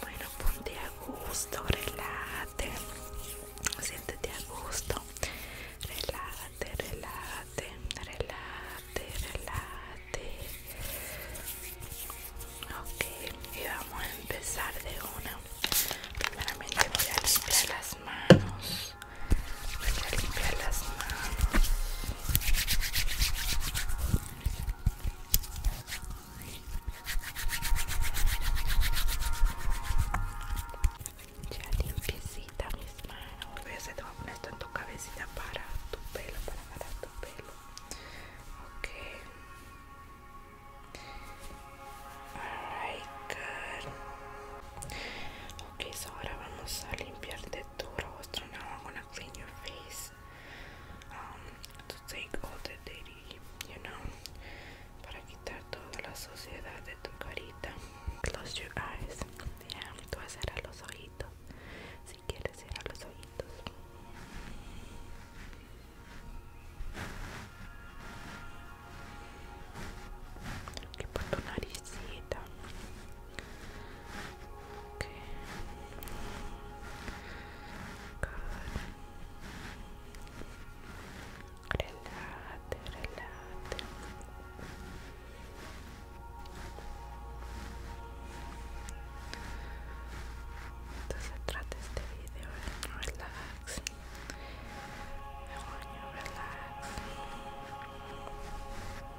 Bueno, ponte a gusto, relate. Siéntete a gusto. Relate, relate, relate, relájate. Ok, y vamos a empezar de una. Primeramente voy a limpiar las manos. Voy a limpiar las manos. Ya limpiecita mis manos. Voy a hacer poner esto en tu cabecita para tu pelo, para tu pelo. Ok. Alright, Ok, ahora vamos a limpiarte tu rostro. No, clean your face um, to take all the dirty, you know, para quitar toda la suciedad de tu carita. Close your eyes. Yeah, tú vas a los ojitos. Si quieres, cerrar los ojitos. Qué por nariz naricita. Relate, Entonces trata este video relax.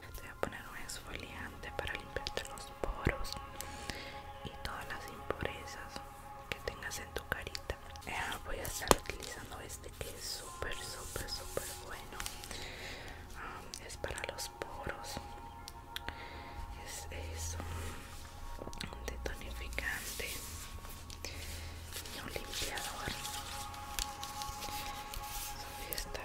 Te voy a poner un exfoliante para limpiarte los poros y todas las impurezas que tengas en tu carita. Eh, voy a estar utilizando este que es súper, súper, súper bueno. Ah, es para los poros. Es, un, detonificante y un limpiador. esta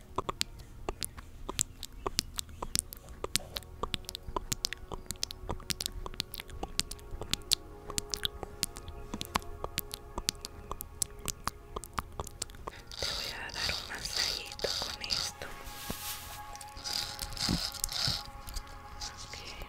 Te voy a dar un masajito con esto. Okay.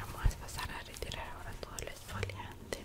Vamos a pasar a retirar ahora todo el exfoliante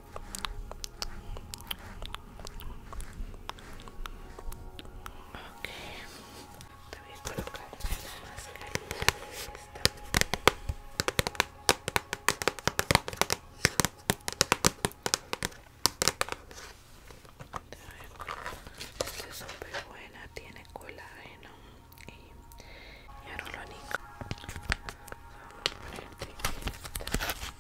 Ok, te voy a colocar la mascarilla esta. es súper buena, tiene colágeno y, y lo Vamos a ponerte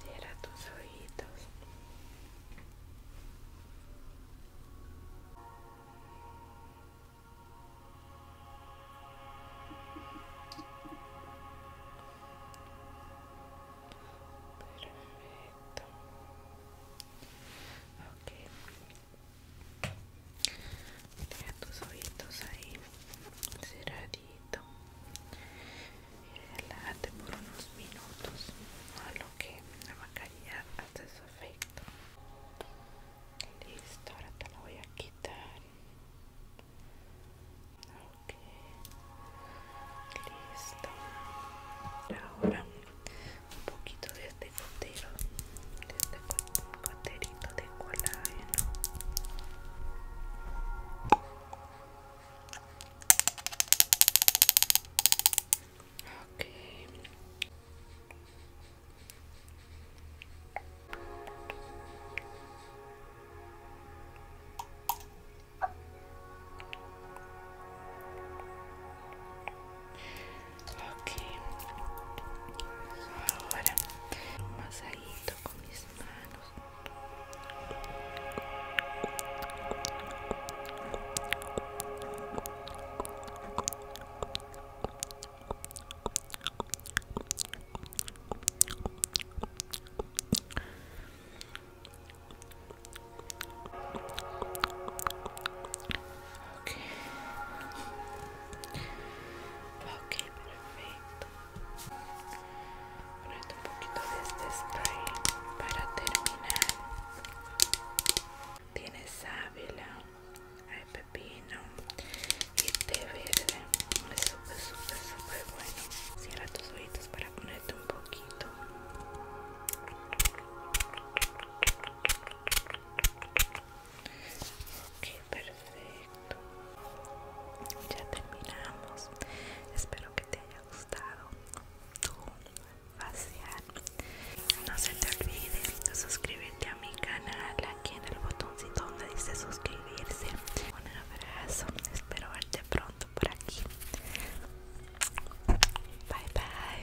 Cierra tus ojitos. Perfecto. Ok. Mira tus ojitos ahí cerradito y relájate por unos minutos a lo que la macaría hace su efecto listo ahora te la voy a quitar ok listo ahora un poquito de este botero de este goterito de colágeno ok Ok. Ahora un masajito con mis manos. Ok. perfecto. ponerte un poquito de este spray para terminar. Tienes sábila, hay pepino y té verde. Es súper, súper, súper bueno. Cierra tus oídos para ponerte un poquito ok perfecto ya terminamos espero que te haya gustado tu facial no se te olvide de suscribirte a mi canal aquí en el botoncito donde dice suscribirse un abrazo espero verte pronto por aquí bye bye